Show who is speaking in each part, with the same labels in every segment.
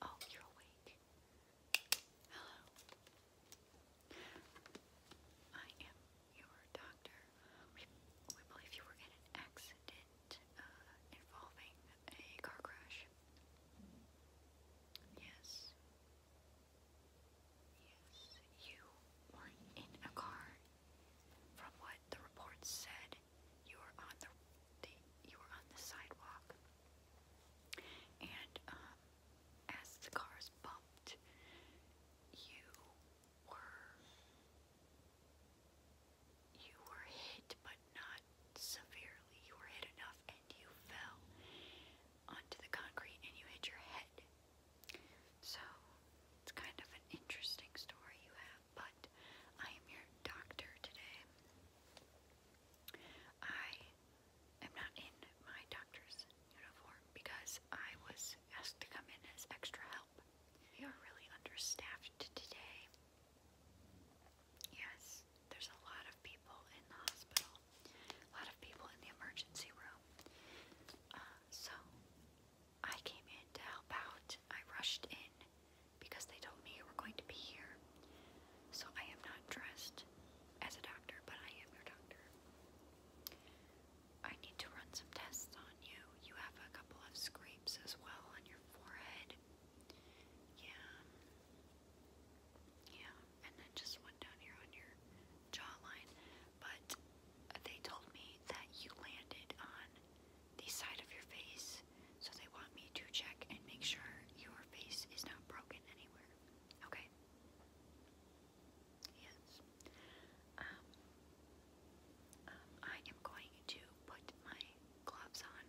Speaker 1: Oh, you're awake. Hello. I am your doctor. We, believe you were in an accident uh, involving a car crash. Yes. Yes, you were in a car. From what the report said, you were on the, you were on the sidewalk, and um, as the cars bumped, you were you were hit, but not severely. You were hit enough and you fell onto the concrete and you hit your head. So it's kind of an interesting story you have, but I am your doctor today. I am not in my doctor's uniform because I was asked to come in as extra help. We are really understaffed today. Yes, there's a lot of people in the hospital, a lot of people in the emergency room. Uh, so I came in to help out. I rushed in because they told me you were going to be here. So I am not dressed as a doctor, but I am your doctor. I need to run some tests on you. You have a couple of scrapes as well on your forehead. Yeah. Yeah, and then just one down here on your jawline. But they told me that you landed on the side of your face, so they want me to check and make sure your face is not broken anywhere. Okay? Yes. Um, um, I am going to put my gloves on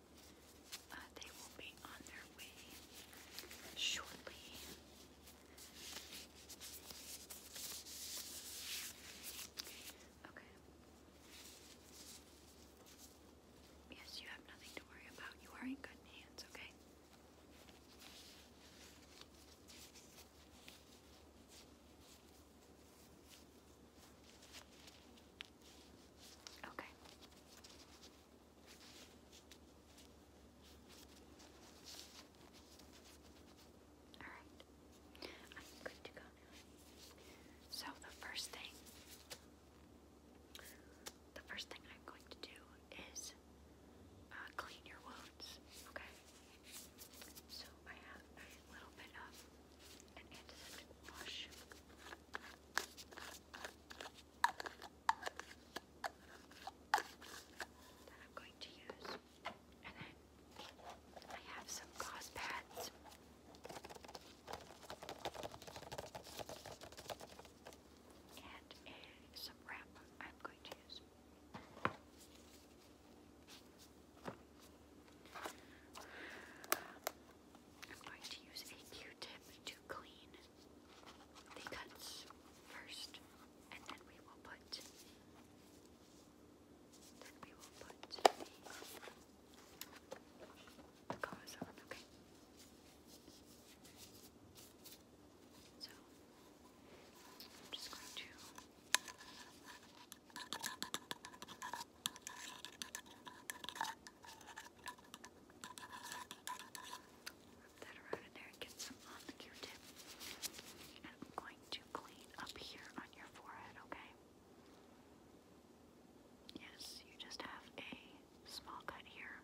Speaker 1: Uh, they will be on their way shortly. Okay. Yes, you have nothing to worry about. You are in good hands, okay? Okay. Alright. I'm good to go So the first thing the first thing I'm going to do is uh, clean your wounds. Okay. So I have a little bit of an antiseptic wash that I'm going to use. And then I have some gauze pads. And uh, some wrap I'm going to use. Um, I'm going to use a Q-tip to clean the cuts first, and then we will put then we will put the, the on. Okay. So I'm just going to. That around in there get some on the Q-tip. And I'm going to clean up here on your forehead, okay? Yes, you just have a small cut here.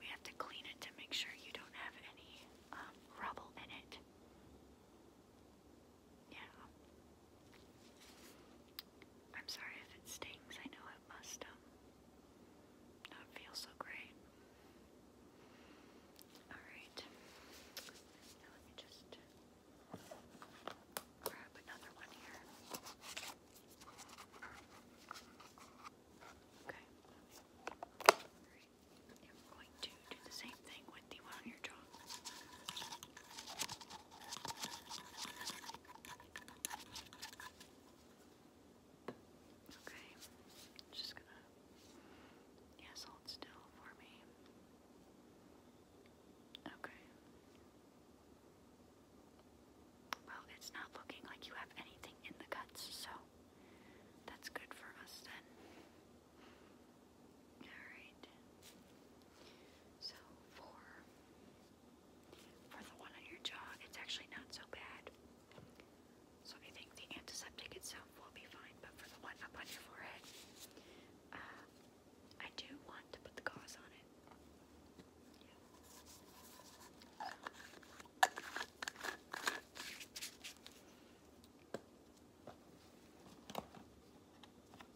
Speaker 1: We have to clean it to make sure you don't have any um, rubble in it. Yeah. I'm sorry if it stings, I know it must um, not feel so great. Alright. Now let me just grab another one here. Okay. Alright. i going to do the same thing with the one on your jaw. Okay, just gonna, yes, hold still for me. Okay. Well, it's not looking like you have anything in the guts, so that's good for us then. Alright. So, four. For the one on your jaw, it's actually not so bad. So I think the antiseptic itself will be fine, but for the one up on your forehead, uh, I do want to put the gauze on it.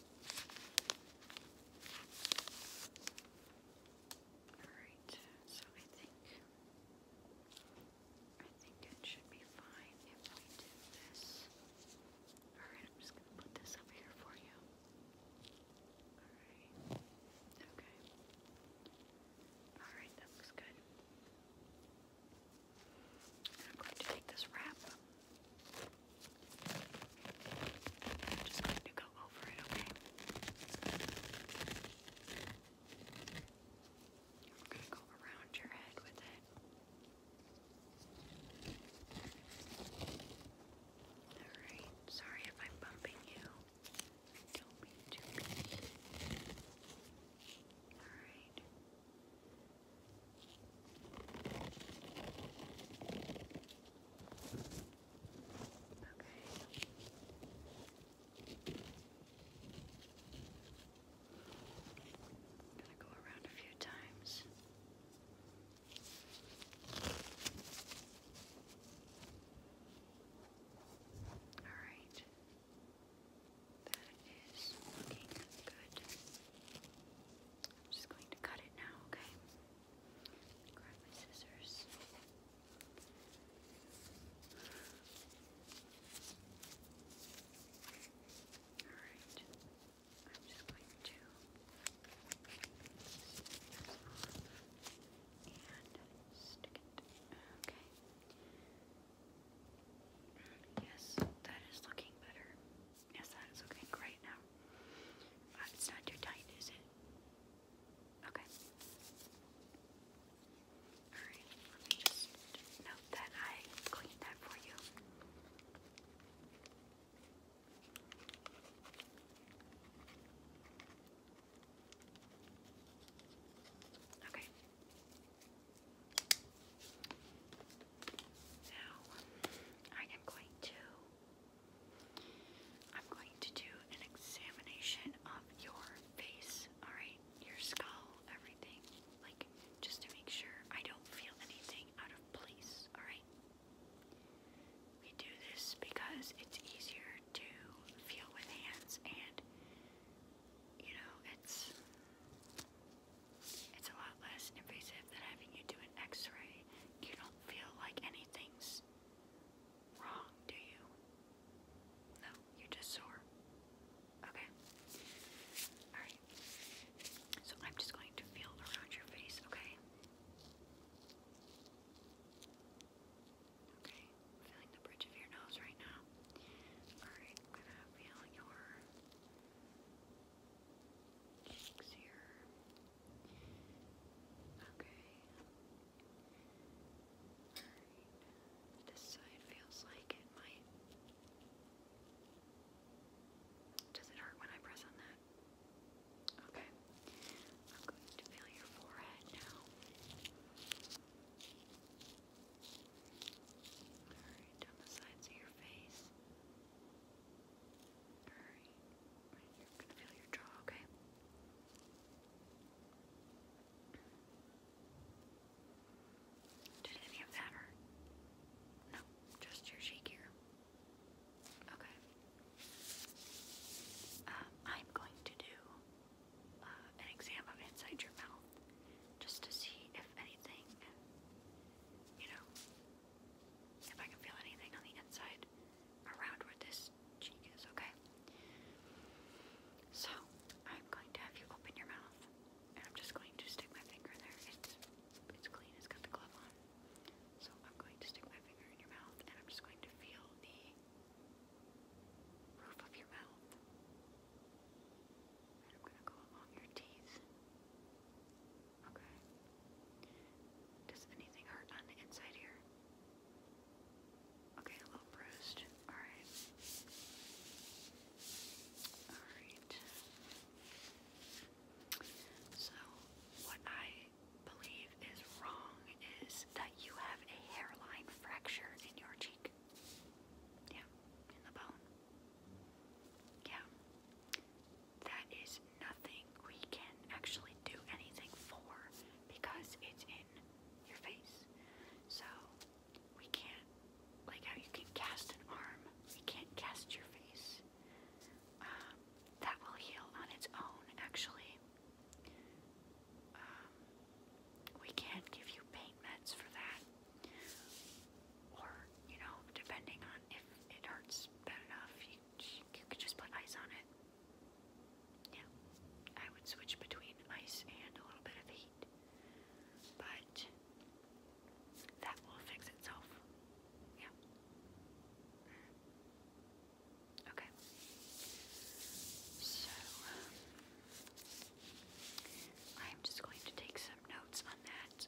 Speaker 1: Alright, so I think I think it should be fine if we do this. Alright, I'm just gonna put this up here for you. Alright. Okay. Alright, that looks good. And I'm to take this wrap I'm just going to go over it, okay? I'm going to go around your head with it. Alright, sorry if I'm bumping you. Don't be too busy. Alright. All I'm gonna go around a few times. All right. That is looking good. I'm just going to cut it now, okay? Alright. I'm just going to snip this off and stick it. Okay. Yes, that is looking better. Yes, that is looking great now. Uh, it's not too tight, is it? Okay. Alright, let me just note that I cleaned that for you. Okay. Now, I am going to I'm going to do an examination of your face, alright? Your skull, everything. Like, just to make sure I don't feel anything out of place, alright? We do this because it's easier to feel with hands and, you know, it's. It's a lot less invasive than having you do an x ray you don't feel like anything's wrong, do you? No, you're just sore. Okay. Alright. So I'm just going to feel around your face, okay? Okay, feeling the bridge of your nose right now. Alright, I'm gonna feel your cheeks here. Okay. Alright. This side feels like it might. Does it hurt when I press on that? Okay. I'm going to feel your forehead now. Alright, down the sides of your face. Did any of that hurt? No, just your cheek here. Okay. I'm going to do an exam of inside your mouth just to see if anything, you know, if I can feel anything on the inside around where this cheek is, okay? So, I'm going to have you open your mouth, and I'm just going to stick my finger in there. It's, clean, it's got the glove on. So, I'm going to stick my finger in your mouth, and I'm just going to feel the roof of your mouth. And I'm going to go along your teeth. Okay. Does anything hurt on the inside here? Okay, a little bruised. Alright. Alright. So, what I believe is wrong is that you have a hairline fracture in your cheek. Yeah, in the bone. Yeah that is nothing we can actually do anything for because it's in your face. So we can't, like how you can cast an arm, we can't cast your face. Um, that will heal on its own, actually. Um, we can't give you pain meds for that. Or, you know, depending on if it hurts bad enough, you could just put ice on it. Yeah, I would switch between ice and a little bit of heat, but that will fix itself. Yeah. Okay. So, I'm um, just going to take some notes on that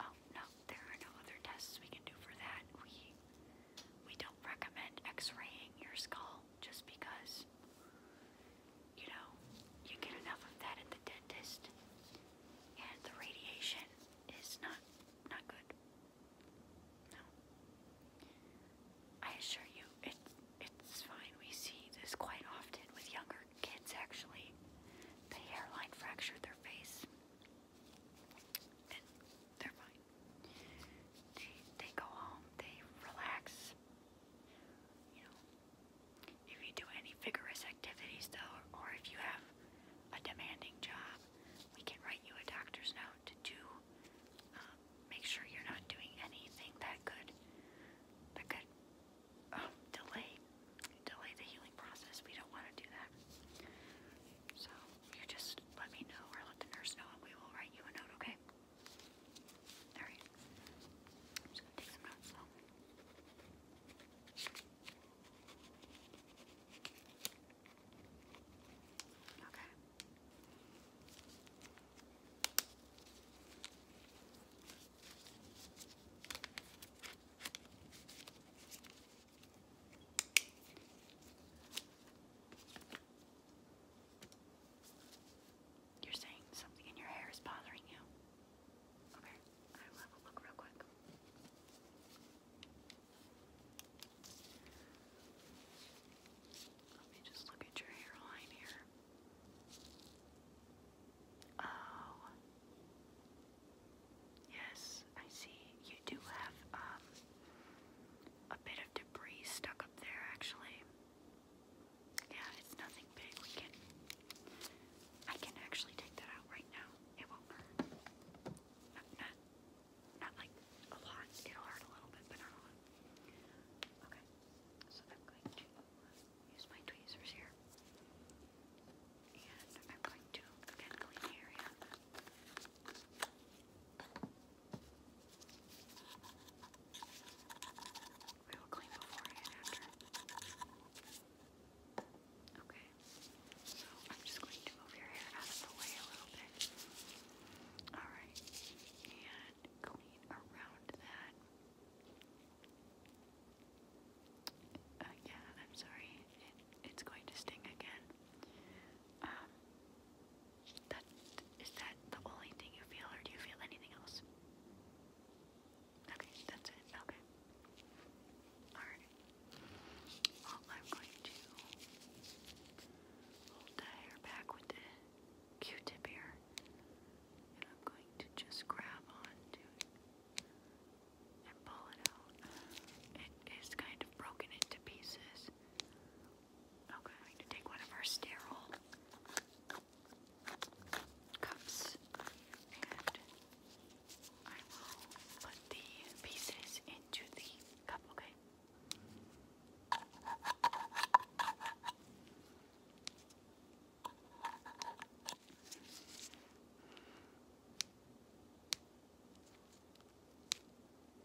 Speaker 1: Oh no, there are no other tests we can do for that. We we don't recommend x-raying your skull just because you know, you get enough of that at the dentist and the radiation is not not good. No. I assure you, it's it's fine. We see this quite often with younger kids, actually. The hairline fractured their face, and they're fine. They, they go home, they relax. You know, if you do any vigorous activities, though, or if you have a demanding job, we can write you a doctor's note to do. Um, make sure you're not doing anything that could that could um, delay delay the healing process. We don't want to do that. So you just let me know or let the nurse know, and we will write you a note. Okay. All Okay. You're saying something in your hair is bothering you? Okay, I will have a look real quick. Let me just look at your hairline here. Oh. Yes, I see. You do have um a bit of debris stuck up there actually. Yeah, it's nothing big. We can I can actually take that out right now. It won't hurt. Not not, not like a lot. It'll hurt a little bit, but not a lot. Okay. So I'm going to use my tweezers here. And I'm going to, again, clean area. We clean before and after. Okay, so I'm just going to move your hair out of the way a little bit. Alright, and and clean around that. Uh, I'm sorry. It, it's going to sting again. Um, that is that the only thing you feel, or do you feel anything else? Okay, that's it. Okay. Alright. Well, I'm going to hold the hair back with the Q-tip here, and I'm going to just grab onto it and pull it out. It is kind of broken into pieces. I'm going to take one of our sterile cups and I will put the pieces into the cup, okay?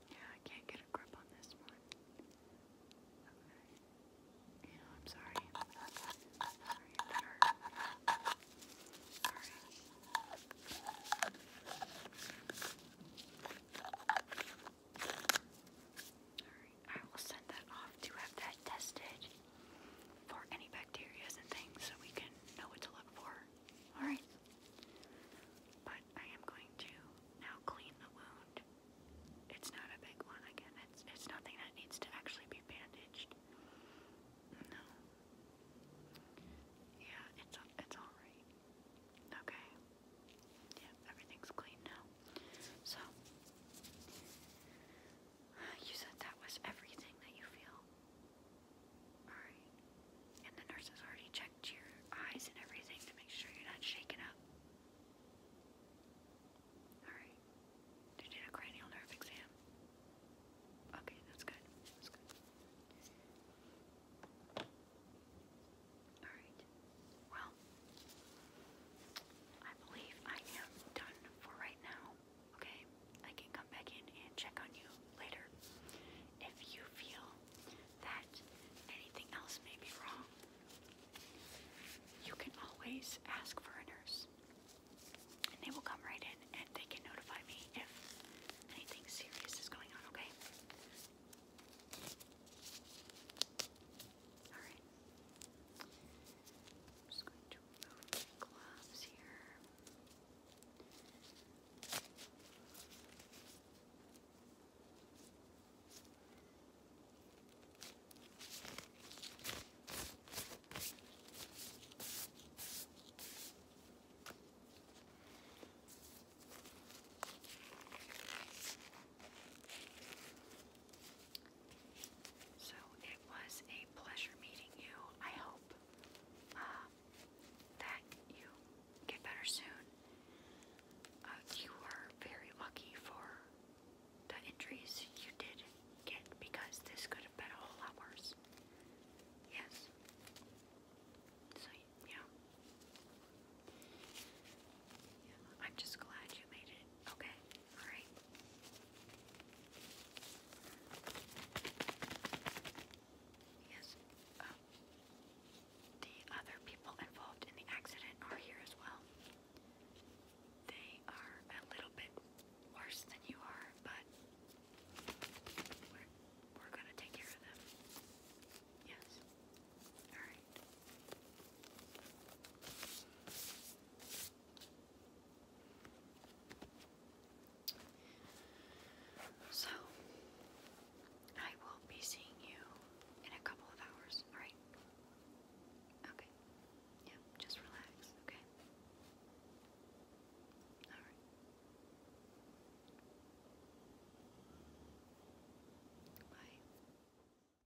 Speaker 1: Yeah, I can't get a grip on this one. Yeah, I'm sorry. Alright, I will send that off to have that tested for any bacteria and things so we can know what to look for. Alright. But I am going to now clean the wound. It's not a big one again. It's it's nothing that needs to actually be bandaged. No. Yeah, it's it's all right. Okay. Yeah, everything's clean now well. So, uh, you said that was everything that you feel. Alright. And the nurse has already checked your eyes and everything to make sure you're not shaken up. Alright. They did a cranial nerve exam. Okay, that's good. That's good. Alright. Well, I believe I am done for right now. Okay, I can come back in and check on you later. If you feel that anything else may be wrong, you can always ask for a nurse. And they will come right in and they can notify me if anything serious is going on, okay? Alright. I'm just going to remove my gloves here. So it was a pleasure meeting you. I hope uh, that you get better soon. Uh, you were very lucky for the injuries you did get because this could have been a whole lot worse. Yes. So, yeah. I'm just glad you made it. Okay, alright. Yes, uh, the other people involved in the accident are here as well. They are a little bit worse than you are, but we're, we're gonna take care of them. Yes. Alright. So, I will be seeing you in a couple of hours, alright? Okay. Yeah, just relax, okay? Alright. Bye.